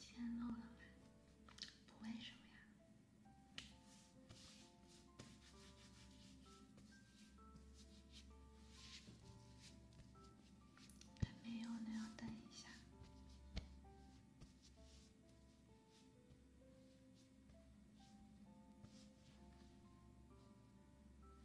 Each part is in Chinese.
钱漏了吧？不为什么呀？还没有呢，要等一下。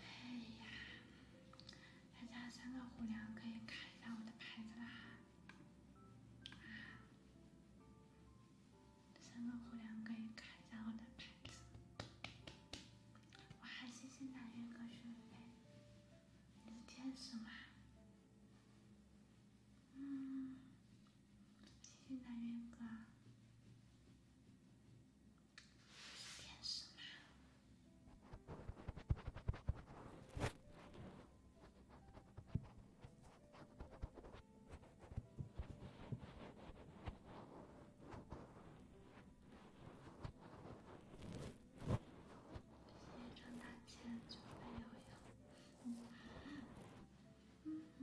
哎呀！大家三个虎粮可以看一下我的牌子啦！三个虎粮可以看一下我的牌子，我还谢新南苑哥学的，你是天使吗？嗯，谢谢南苑哥，你是天使吗？毕业挣大钱，就背悠悠。嗯嗯。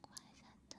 关一下灯。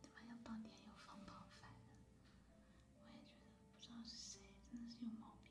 他妈要当天有风暴，反正我也觉得不知道是谁，真的是有毛病。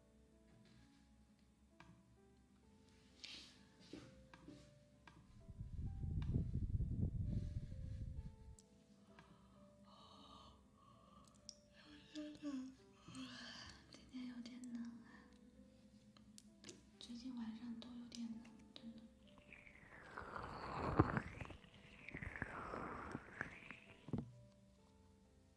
有点冷，今天有点冷啊。最近晚上都有点冷，真的。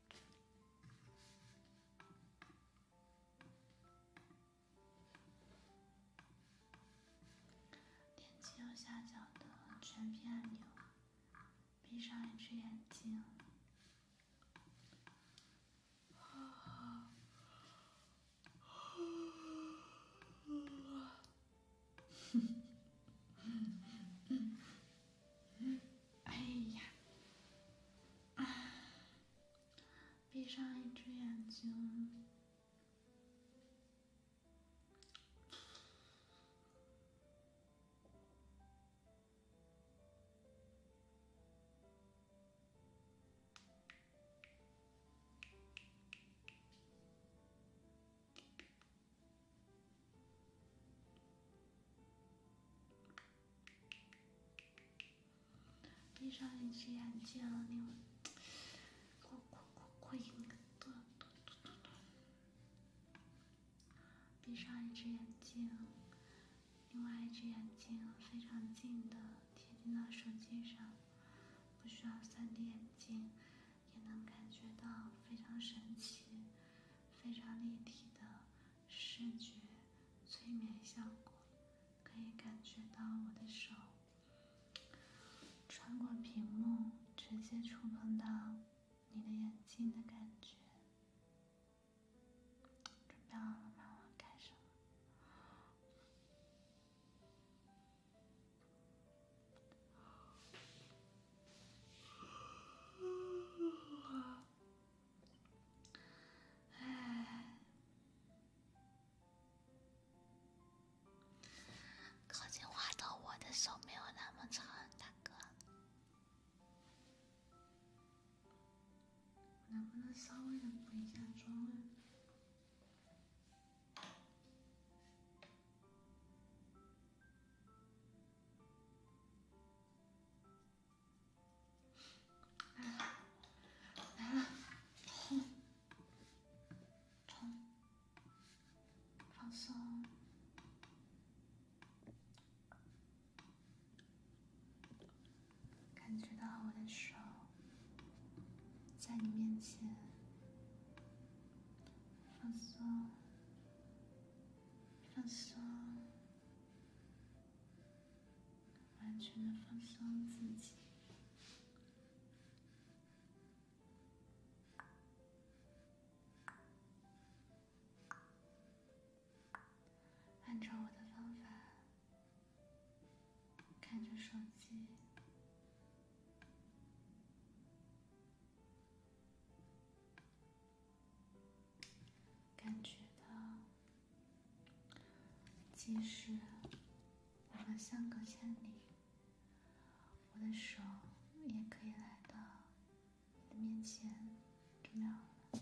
点击右下角的全屏按钮，闭上一只眼睛。嗯，哎呀，啊，闭上一只眼睛。闭上一只眼睛，你过过过过一个嘟嘟嘟嘟。闭上一只眼睛，另外一只眼睛非常近的贴近到手机上，不需要 3D 眼镜也能感觉到非常神奇、非常立体的。视觉催眠效果，可以感觉到我的手穿过屏幕，直接触碰到你的眼睛的感觉。准备好了吗？我开始。靠近话筒，我的手没有那么长，大哥。能不能稍微的补一下妆啊？放松，感觉到我的手在你面前，放松，放松。完全的放松自己，按照我的方法，看着手机。感觉到，即使我们相隔千里，我的手也可以来到你的面前，给秒了。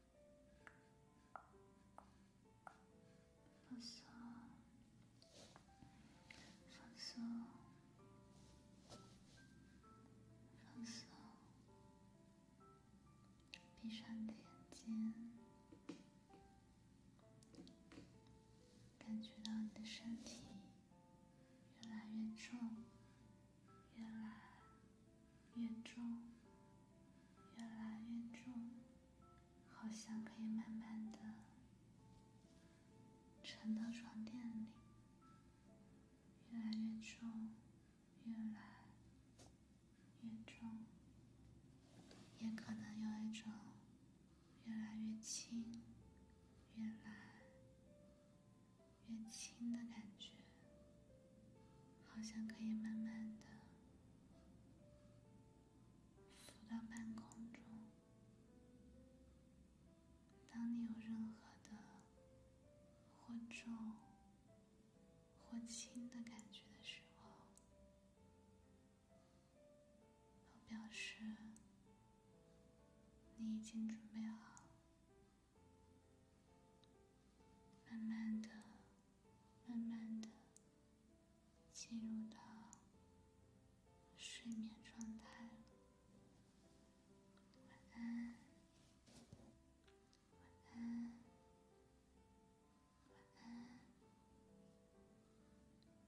放松，放松，放松。闭上眼睛，感觉到你的身体越来越重，越来越重，越来越重。好像可以慢慢的沉到床垫里，越来越重，越来越重，也可能有一种越来越轻，越来越轻的感觉，好像可以慢慢的。浮到半空中。当你有任何的或重或轻的感觉的时候，都表示你已经准备好，慢慢的。慢慢的进入到睡眠状态了，晚安，晚安，晚安，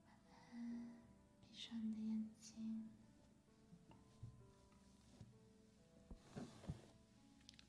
晚安，闭上你的眼睛。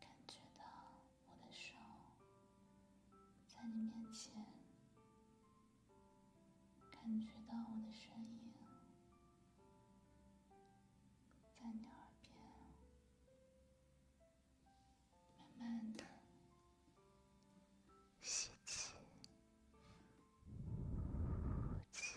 感觉到我的手在你面前，感觉到我的声音在你耳边，慢慢的吸气，呼气。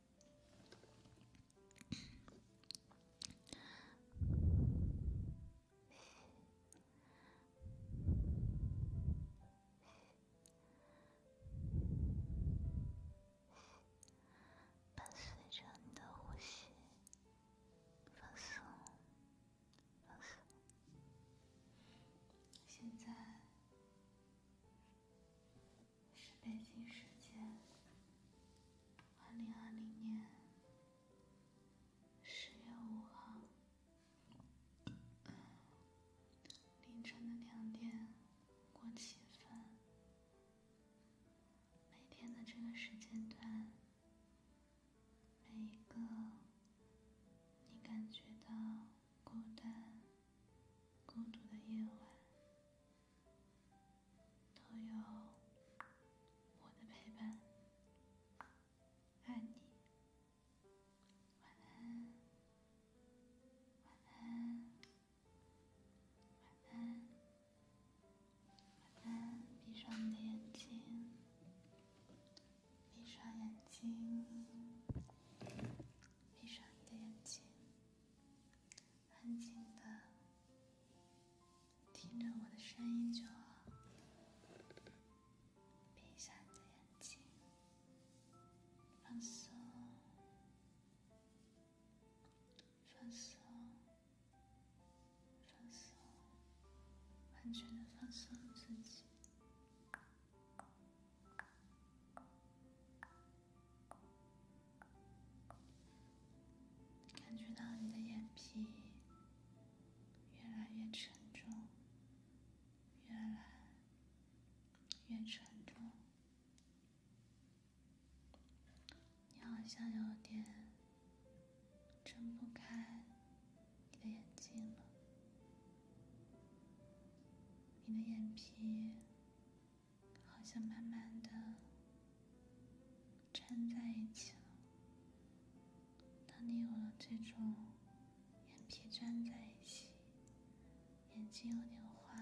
伴随着你的呼吸，放松，放松。现在。是北京时间二零二零年十月五号凌晨的两点过七分。每天的这个时间段，每一个你感觉到孤单、孤独的夜晚。都有我的陪伴，爱你，晚安，晚安，晚安，晚安。闭上你的眼睛，闭上眼睛，闭上你的眼睛。安静的听着我的声音就好，闭上眼睛，放松，放松，放松，完全的放松自己。感觉到你的眼皮越来越沉重，越来越沉重，你好像有点睁不开你的眼睛了，你的眼皮。好像慢慢的粘在一起了。当你有了这种眼皮粘在一起、眼睛有点花、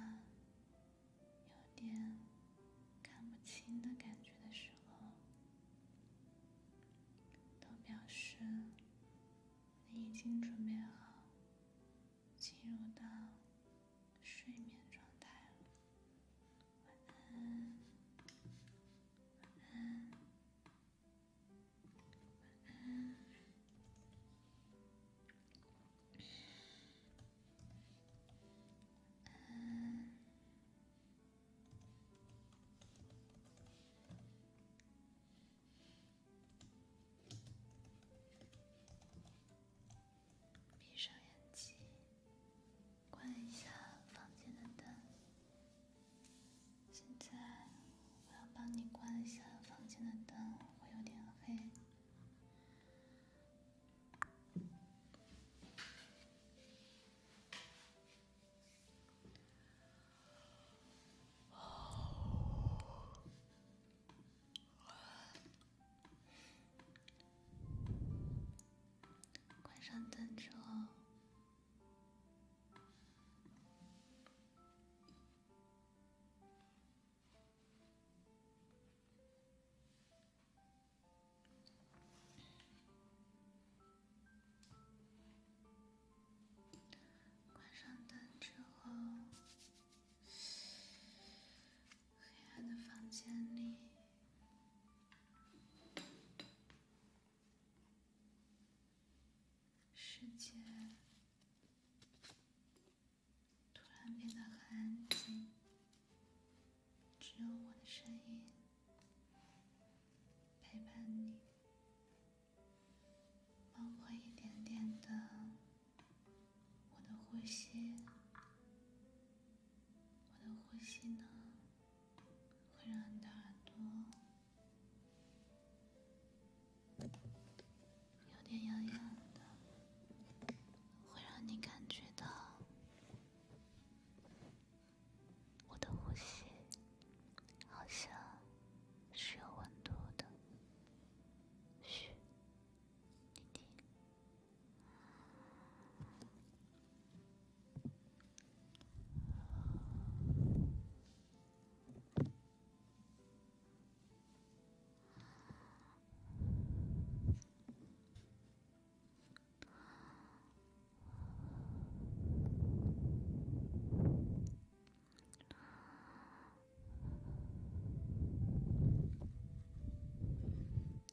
有点看不清的感觉的时候，都表示你已经准备好。进入到睡眠状态晚安，晚安，晚安。闭上眼睛，关一下房间的灯。现在我要帮你关一下房间的灯，会有点黑。关上灯之后，关上灯之后。黑暗的房间里，世界突然变得很安静，只有我的声音陪伴你，包括一点点的。我的呼吸，我的呼吸呢，会让你的耳朵有点痒痒的，会让你感觉到我的呼吸好像是有温度的，嘘。弟弟。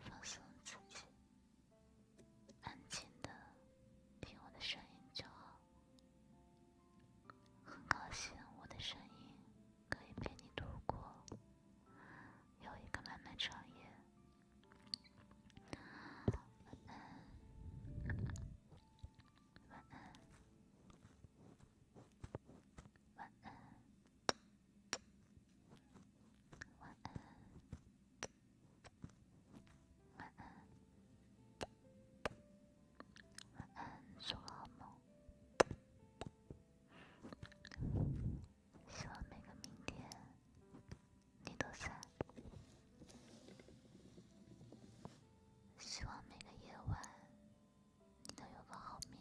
放松自己，安静的听我的声音就好。很高兴我的声音可以陪你度过有一个漫漫长夜。晚安，晚安，晚安，晚安，晚安，做好梦。希望每个明天。你都在，希望每个夜晚，你都有个好眠。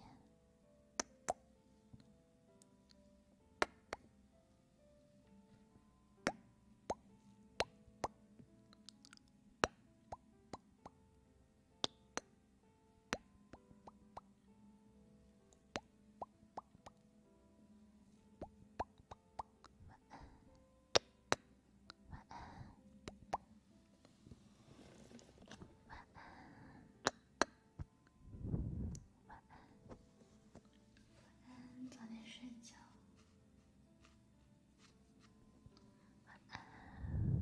晚安。晚安，晚安，晚安，晚安，早点睡觉，晚安，晚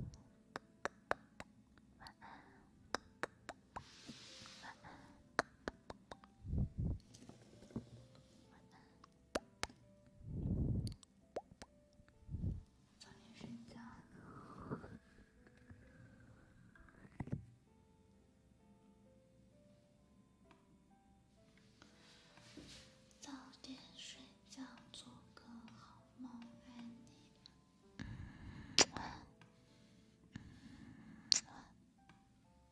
安，晚安，晚安。早点睡觉，早点睡觉，做个好梦，爱你。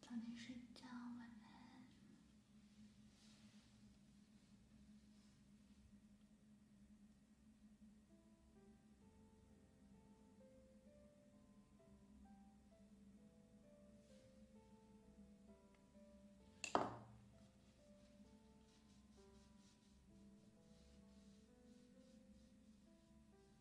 早点睡觉，晚安。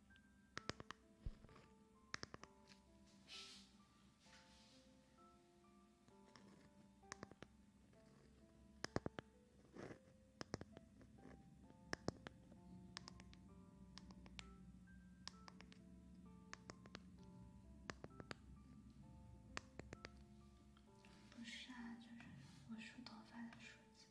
不是啊，就是我梳头发的梳子。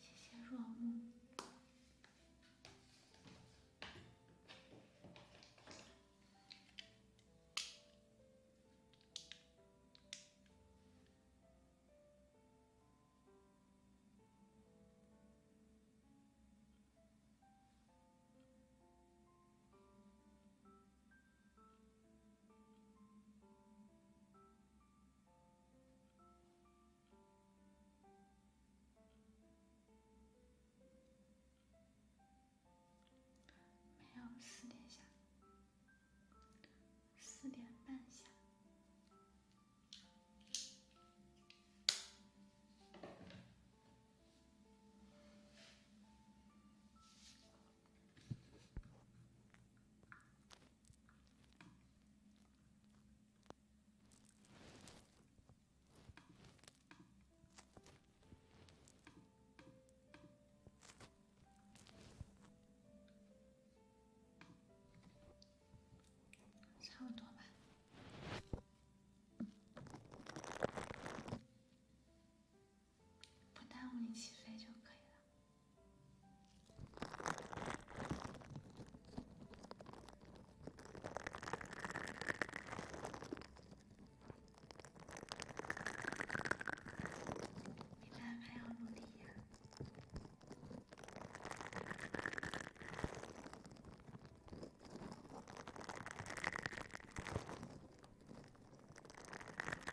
谢谢若木。没有四点下，四点半下。差不多吧。不耽误你起飞就可以了。静静地看着我。好的。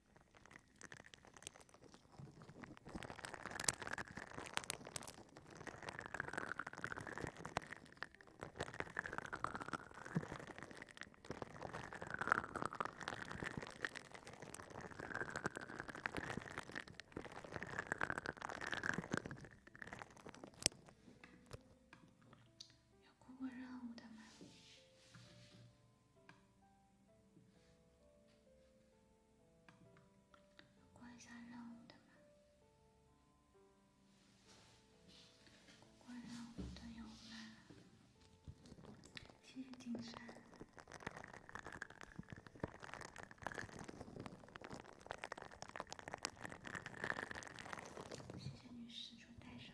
有过任务的吗？关一下任务的吗？关任务的有吗？谢谢金山，谢谢女施主带上。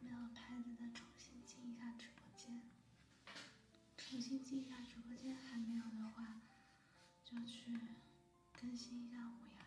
没有拍的再重新进一下直播间。重新进一下直播间，还没有的话，就去更新一下虎牙。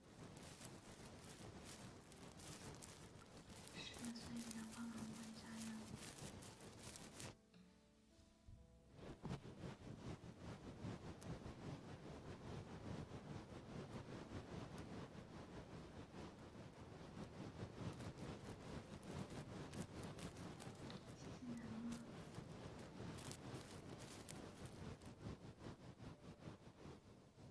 十岁，阳光灿烂，加油！谢谢楠木。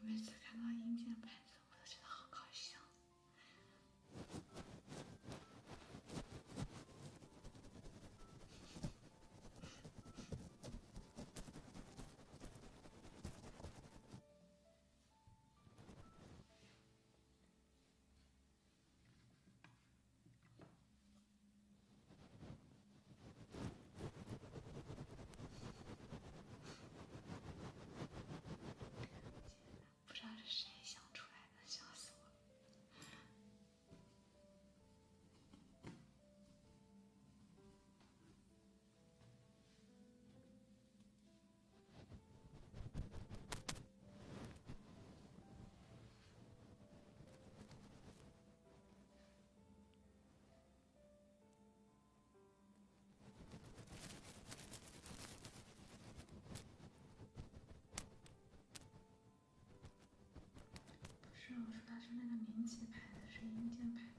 每次看到硬件牌子，我都觉得好搞笑。不知道是谁想出来的，笑死我了。不是，我说它是那个民企牌子，是硬件牌子。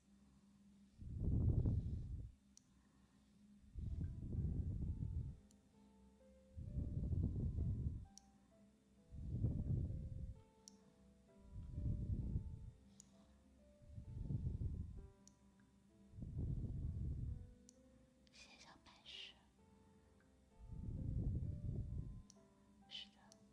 心想白事，是的。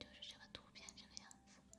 就是这个图片这个样子。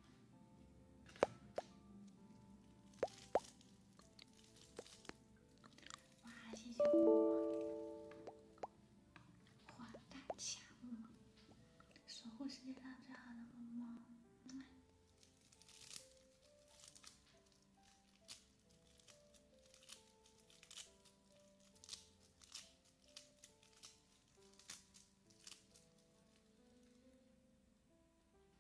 哇！谢谢花大强，守护世界上最好的猫猫。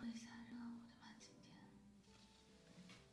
过一下任务，对吧？今天。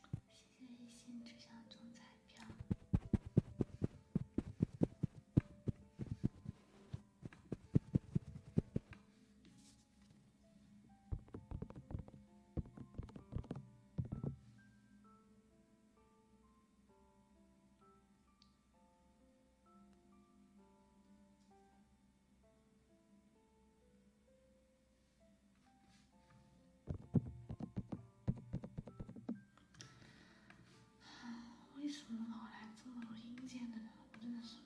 谢谢一心之乡中彩票。为什么老来这么多阴间的人？我真的是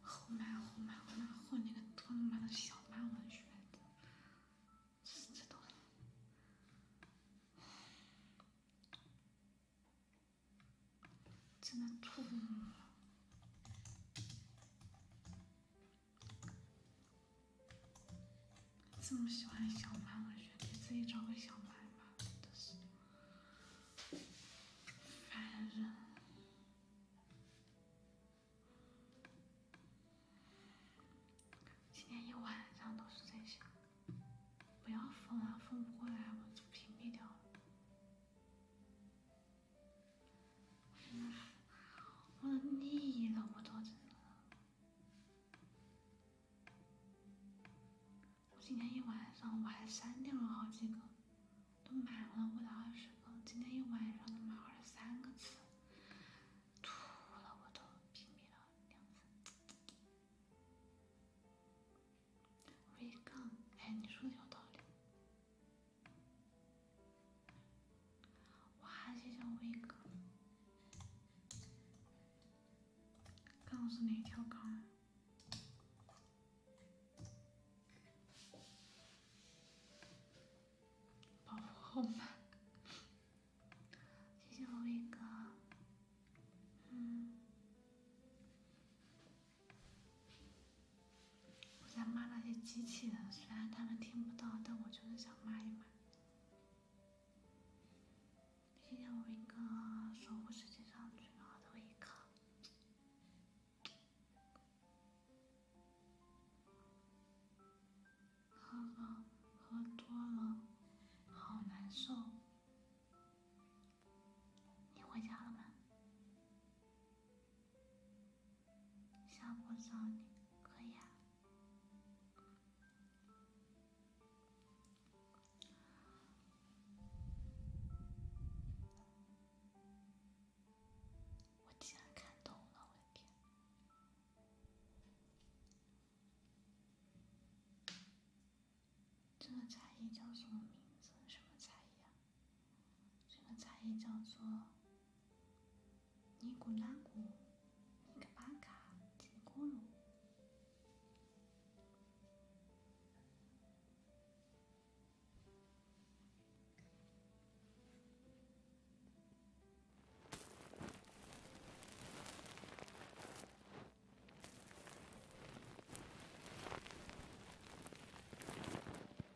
后妈后妈我那混那个多妈的小慢文学，只知道，真 的吐。这么喜欢小蛮，我觉得你自己找个小蛮吧，真的是烦人！今天一晚上都是这些，不要疯啊，疯不过来我就屏蔽掉了。我腻了，我多字了。我今天一晚上，我还删掉了好几个，都满了，我的二十个。今天一晚上都满了三个字，吐了，我都屏蔽了两次。V 杠，哎，你说的有道理。哇！谢谢威哥，港是哪条杠。保护好嘛！谢谢伟哥，嗯。我在骂那些机器人，虽然他们听不到，但我就是想骂一骂。毕竟我一个守护世界上最好的一个。喝了，喝多了，好难受。你回家了吗？下午找你，可以啊。我竟然看懂了，我的天！这个才艺叫什么名字？什么才艺啊？这个茶叶叫做尼古拉古尼可巴卡金古鲁。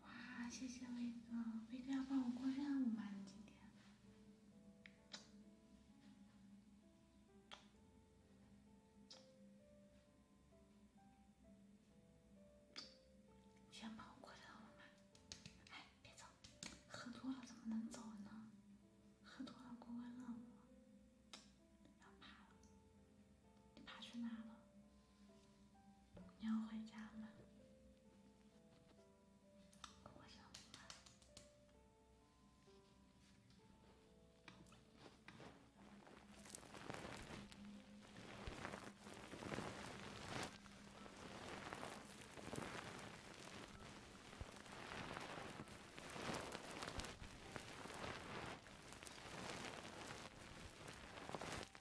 哇，谢谢威哥！威哥要帮我过任务吗？你今天？想帮我过任务吗？哎，别走，喝多了怎么能走呢？喝多了过过任务，你爬去哪了？你要回家吗？我想了。哇！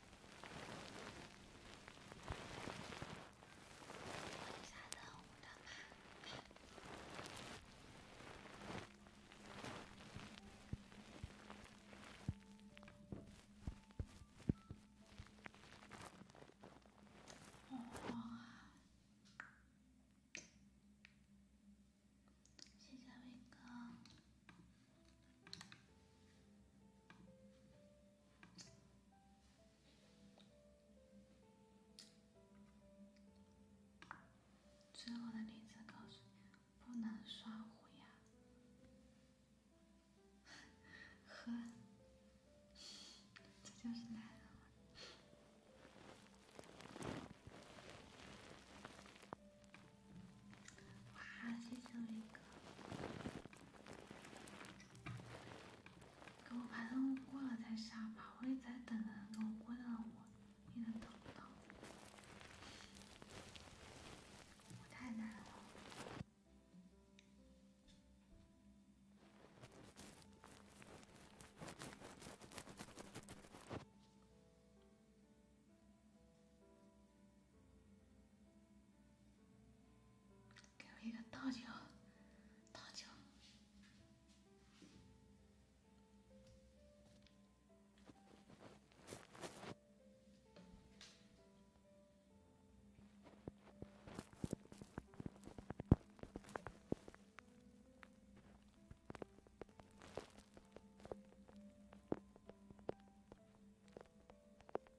谢谢伟哥。最后的例子告诉你，不能刷虎牙。呵，这就是男人。哇，谢谢伟哥！给我把任务过了再杀吧，我也在等呢。给我过了，我也能等得到。我太难了。给我一个大脚，大脚。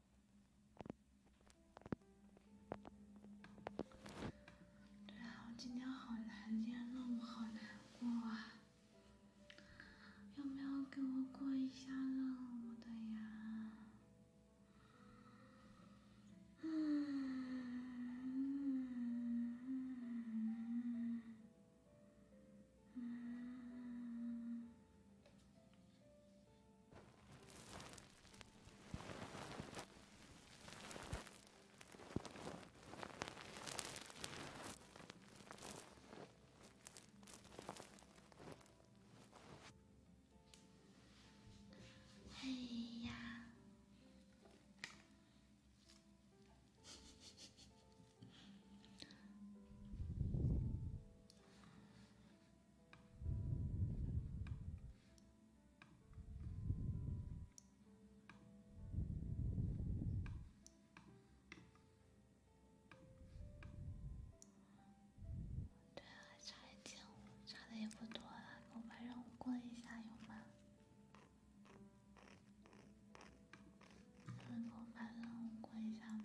对啊，我今天好难，今天任务好难过。有没有给我过一下任务的呀？哎呀！对啊，差一千五，差的也不多了。给我把任务过一下，有吗？能给我把任务过一下吗？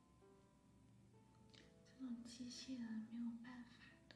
这种机器人没有办法的。